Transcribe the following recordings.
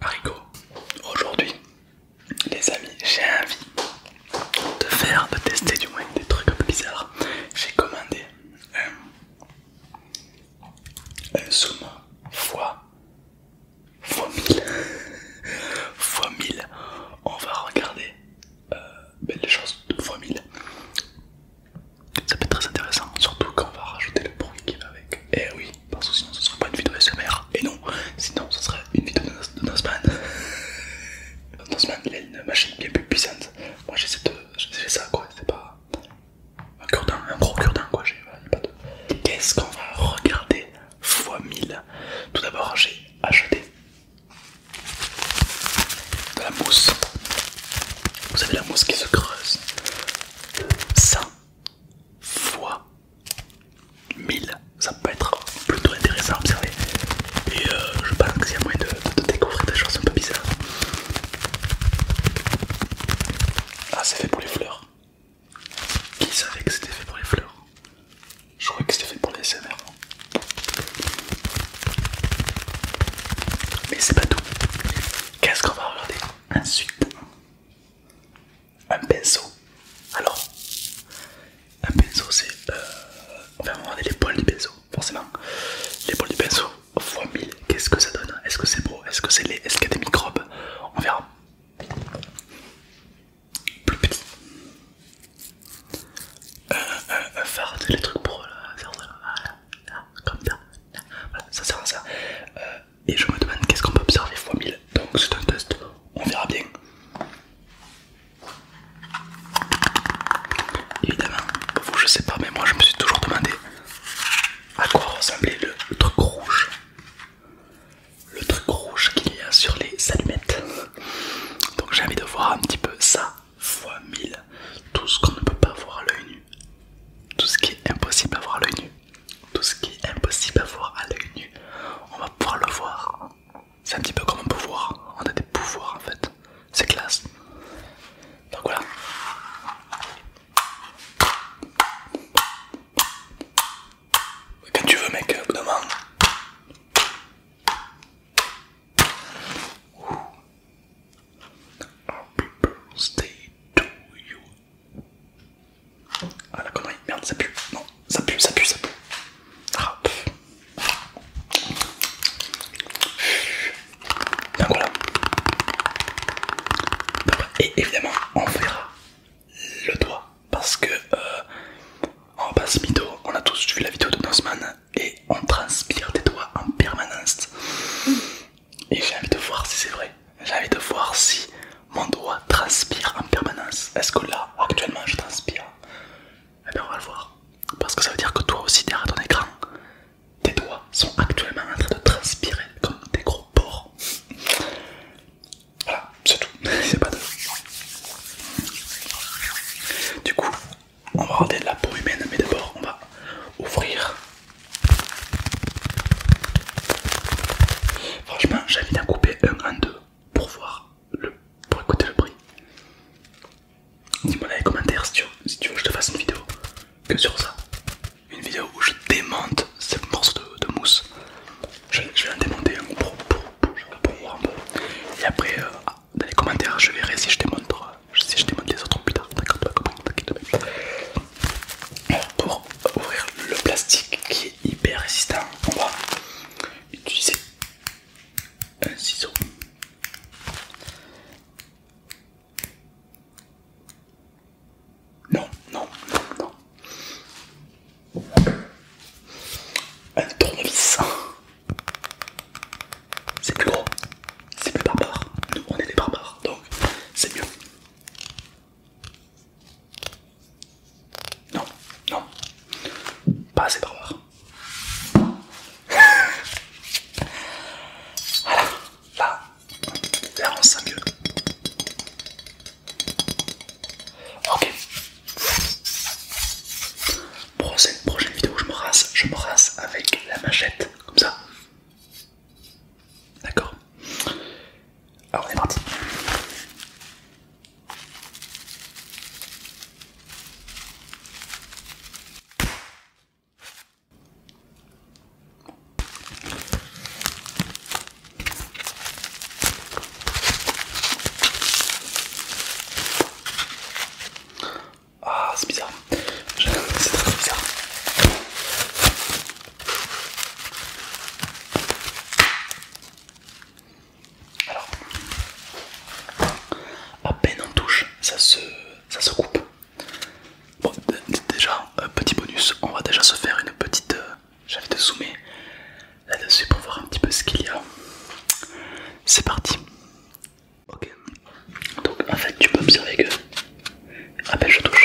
Haricot, aujourd'hui, les amis, j'ai envie de faire, de tester du moins des trucs un peu bizarres. J'ai commandé un, zoom x fois, fois 1000. fois 1000. On va regarder euh, les choses de fois 1000. Ça peut être très intéressant, surtout quand on va rajouter le bruit qui va avec. Eh oui, parce que sinon ce serait pas une vidéo SMR. Et non, sinon ce serait une vidéo de, Nozman. Nozman il a une machine bien plus puissante. Moi j'ai fait ça quoi, c'est pas un cure un gros cure-dent quoi. Qu'est-ce qu'on va regarder x 1000 Tout d'abord, j'ai acheté de la mousse vous avez la mousse qui se creuse. 100 fois 1000. Ça peut être plutôt intéressant à observer. Et euh, je pense qu'il y a moyen de, découvrir des choses un peu bizarres. Ah, c'est fait pour les fleurs. Qui savait que c'était fait pour les fleurs Je croyais que c'était fait pour les SMR. Mais c'est pas tout. Qu'est-ce qu'on va regarder ensuite Un pinceau. Alors, un pinceau, c'est. Euh, on va regarder l'épaule du pinceau, forcément. L'épaule du pinceau x 1000, qu'est-ce que ça donne Est-ce que c'est beau Est-ce que c'est laid Est-ce qu'il y a des microbes On verra. Plus petit. Un, euh, fard euh, c'est les trucs pour là, comme ça, Voilà, ça sert à ça. Euh, et je me demande qu'est-ce qu'on peut observer fois 1000 Donc c'est un test, on verra bien. Évidemment, vous je sais pas, mais moi je me suis toujours demandé à quoi ressemblait le, le truc rouge. Le truc rouge qu'il y a sur les allumettes. Donc j'ai envie de voir un petit peu ça fois 1000 tout ce qu'on ne peut pas voir à l'œil nu, tout ce qui est impossible à voir à l'œil nu, tout ce qui est impossible à voir à l'œil nu, on va pouvoir le voir. C'est un petit peu comme un pouvoir on a des pouvoirs en fait, c'est classe. Donc voilà. Quand tu veux mec, demain to you. Ah la connerie, merde, ça pue. Non, ça pue, ça pue, ça pue. Ah, Donc voilà. Et évidemment, on verra le doigt parce que, on en basse on a tous vu la vidéo de Nosman et on transpire des doigts en permanence. Et j'ai envie de voir si c'est vrai. J'ai envie de voir si mon doigt transpire en permanence. Est-ce que là, actuellement, je transpire Eh bien, on va le voir. Parce que ça veut dire que toi aussi, derrière ton écran, tes doigts sont actuellement en train de transpirer comme des gros porcs. Voilà, c'est tout. c'est pas de. Du coup, on va regarder la peau humaine, mais d'abord on va ouvrir. Franchement, j'ai envie d'en couper un en deux pour voir le, pour écouter le prix. Dis-moi dans les commentaires si tu, veux, si tu veux que je te fasse une vidéo que sur ça. Une vidéo où je démonte ce morceau de, mousse. Je, vais en démonter un pour, pour, un peu. Et après, euh, dans les commentaires, je verrai si je te montre, si je te montre les autres plus tard. D'accord, tu t'inquiète comprendre, t'inquiète Pour ouvrir le plastique qui est hyper résistant, on va utiliser un ciseau. Non, non, non, non. Un tournevis. C'est plus gros, c'est plus barbare. Nous on est des barbares donc c'est mieux. Non, non, pas assez barbare. voilà, là, là on s'en mieux. Ok prochaine, prochaine vidéo je me rase, je me rase avec la machette, comme ça. D'accord Alors on parti. Ah, c'est bizarre. C'est très, bizarre. Alors, à peine on touche, ça se, se coupe. Bon, déjà, euh, petit bonus, on va déjà se faire une petite. J'avais euh, de zoomer là-dessus pour voir un petit peu ce qu'il y a. C'est parti. Ok, donc en fait tu peux observer que rappelle je touche.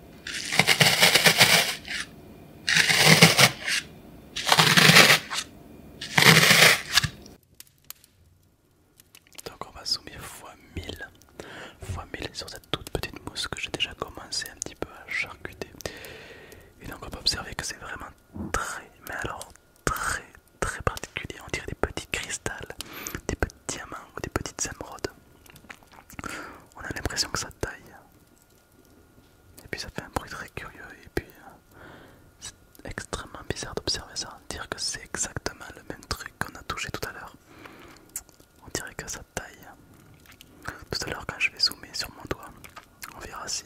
Donc on va zoomer x 1000 fois 1000 sur cette toute petite mousse que j'ai déjà commencé un petit peu à charcuter. Et donc on peut observer que c'est vraiment très, mais alors très très particulier. On dirait des petits cristals, des petits diamants ou des petites émeraudes. On a l'impression que ça taille et puis ça fait un bruit très curieux et puis euh, c'est extrêmement bizarre d'observer ça, dire que c'est exactement le même truc qu'on a touché tout à l'heure. On dirait que ça taille. Tout à l'heure quand je vais zoomer sur mon doigt, on verra si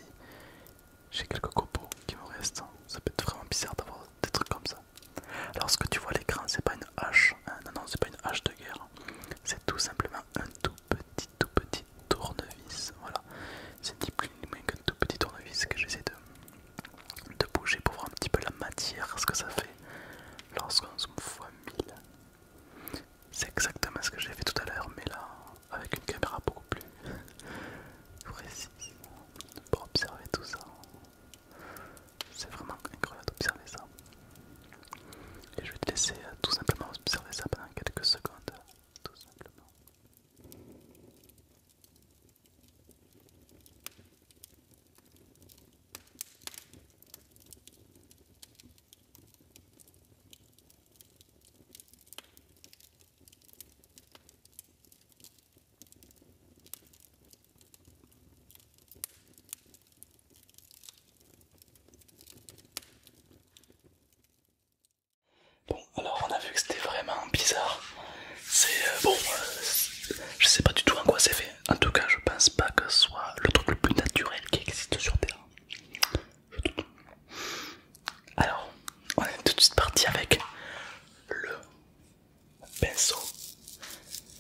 j'ai quelques copeaux qui me restent. Ça peut être vraiment bizarre d'avoir des trucs comme ça. Alors ce que tu vois à l'écran c'est pas une hache, hein. non non c'est pas une hache de guerre. C'est tout simplement un tout petit, tout petit tournevis. Voilà, c'est ni plus ni moins qu'un tout petit tournevis que j'essaie de, de bouger pour voir un petit peu la matière, ce que ça fait lorsqu'on zoome x 1000. C'est exactement ce que j'ai fait tout à l'heure, mais là, avec une caméra beaucoup plus précise pour observer tout ça. C'est vraiment incroyable d'observer ça. Et je vais te laisser euh, tout simplement observer ça pendant quelques secondes. Tout simplement. Bon, alors on a vu que c'était vraiment bizarre. C'est euh, bon, euh, je sais pas du tout en quoi c'est fait. En tout cas, je pense pas que ce soit le truc le plus naturel qui existe sur Terre. Alors, on est tout de suite parti avec le pinceau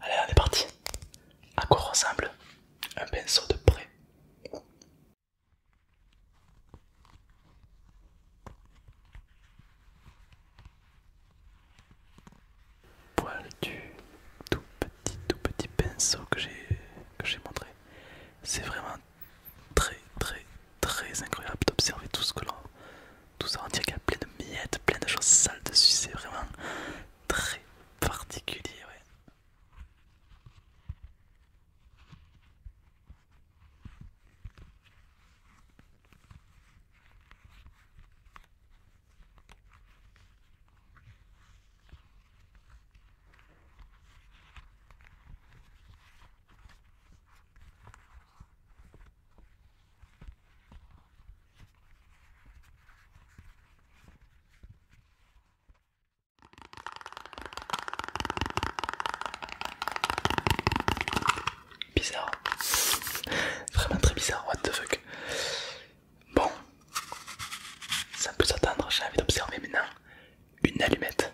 Allez, on est parti. À quoi ressemble un pinceau de près Voilà du tout petit, tout petit pinceau que j'ai montré. C'est vraiment très, très, très incroyable d'observer tout ce que l'on tout ça, on dirait qu'il y a plein de miettes, plein de choses sales dessus, c'est vraiment très particulier. Bizarre, vraiment très bizarre. What the fuck? Bon, ça peut attendre, J'ai envie d'observer maintenant une allumette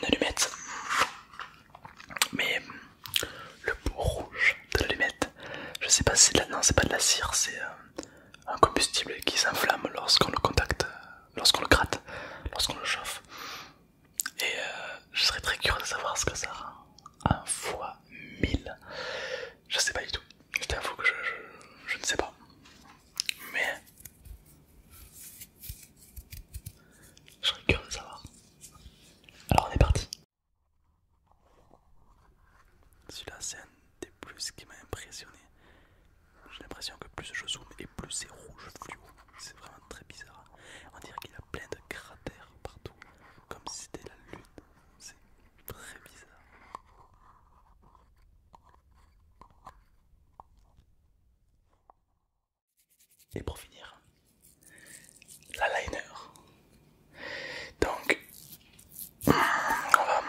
une allumette. Mais le rouge de l'allumette, je sais pas si c'est de la... Non, c'est pas de la cire, c'est euh, un combustible qui s'inflamme lorsqu'on le contacte, lorsqu'on le gratte, lorsqu'on le chauffe. Et euh, je serais très curieux de savoir ce que ça rend. Un fois 1000. Je sais pas du tout. Je t'avoue que je ne sais pas. Mais je serais de savoir. Alors on est parti. Celui-là c'est un des plus qui m'a impressionné. J'ai l'impression que plus je zoome et plus c'est rouge fluo. C'est vraiment très bizarre. On dirait qu'il a plein de cratères partout. Comme si c'était la lune. C'est très bizarre. Et pour finir, la liner. Donc, on va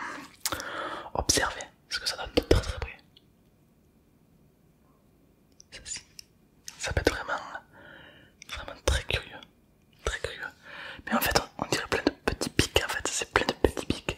observer ce que ça donne de très très près. ça peut être vraiment, vraiment très curieux, très curieux. Mais en fait, on dirait plein de petits pics. En fait, c'est plein de petits pics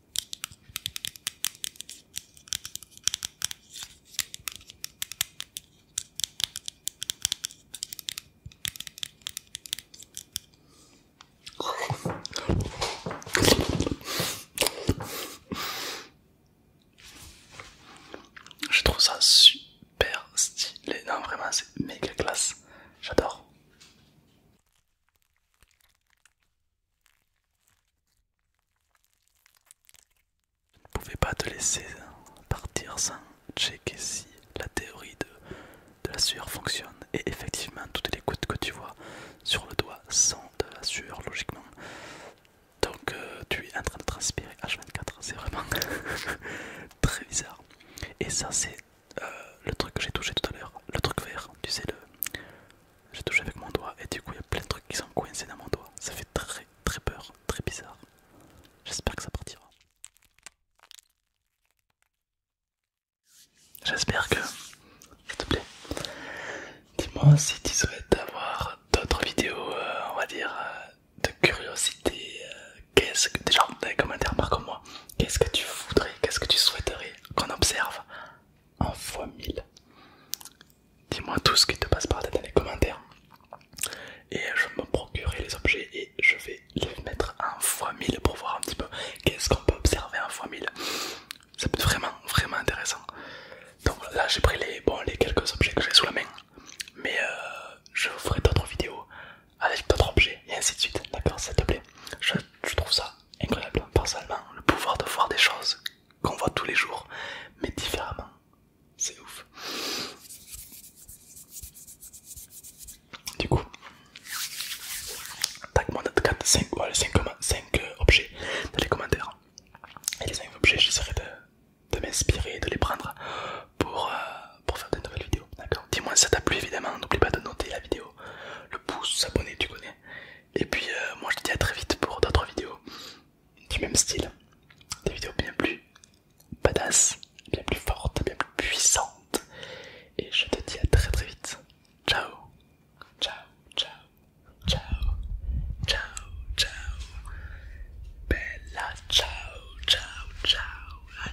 Je trouve ça super stylé. Non, vraiment, c'est méga classe. J'adore. Je ne pouvais pas te laisser partir sans checker si la théorie de, la sueur fonctionne. Et effectivement, toutes les gouttes que tu vois sur le doigt sont de la sueur, logiquement. Donc euh, tu es en train de transpirer H24, c'est vraiment très bizarre. Et ça c'est euh, le truc que j'ai touché tout à l'heure, le truc vert, tu sais le... J'ai touché avec mon doigt et du coup il y a plein de trucs qui sont coincés dans mon doigt. Ça fait très très peur, très bizarre. J'espère que ça partira. J'espère que... S'il te plaît. Dis-moi si tu souhaites avoir d'autres vidéos, euh, on va dire, euh, de curiosité. Qu'est-ce que... Déjà, dans les commentaires, marque-moi. Qu'est-ce que tu voudrais, qu'est-ce que tu souhaiterais qu'on observe en fois 1000 Dis-moi tout ce qui te passe par la dans les commentaires. Et je me procurerai les objets et je vais les mettre en x 1000 pour voir un petit peu qu'est-ce qu'on peut observer en fois 1000. Ça peut être vraiment, vraiment intéressant. Donc là, j'ai pris les, bon, les quelques objets que j'ai sous la main, mais euh, je ferai d'autres vidéos avec d'autres objets et ainsi de suite. D'accord, ça te plaît je trouve ça incroyable, personnellement, le pouvoir de voir des choses qu'on voit tous les jours, mais différemment. C'est ouf. Du coup, tac, moi, 4, 5, 5, objets dans les commentaires. Et les 5 objets, j'essaierai de, de m'inspirer, de les prendre pour, euh, pour faire de nouvelles vidéos. D'accord Dis-moi si ça t'a plu, évidemment. N'oublie pas de noter la vidéo le pouce, s'abonner, tu connais. Et puis euh, moi je te dis à très vite pour d'autres vidéos du même style, des vidéos bien plus badass, bien plus fortes, bien plus puissantes. Et je te dis à très très vite. Ciao, ciao, ciao, ciao, ciao, ciao. Bella, ciao, ciao, ciao.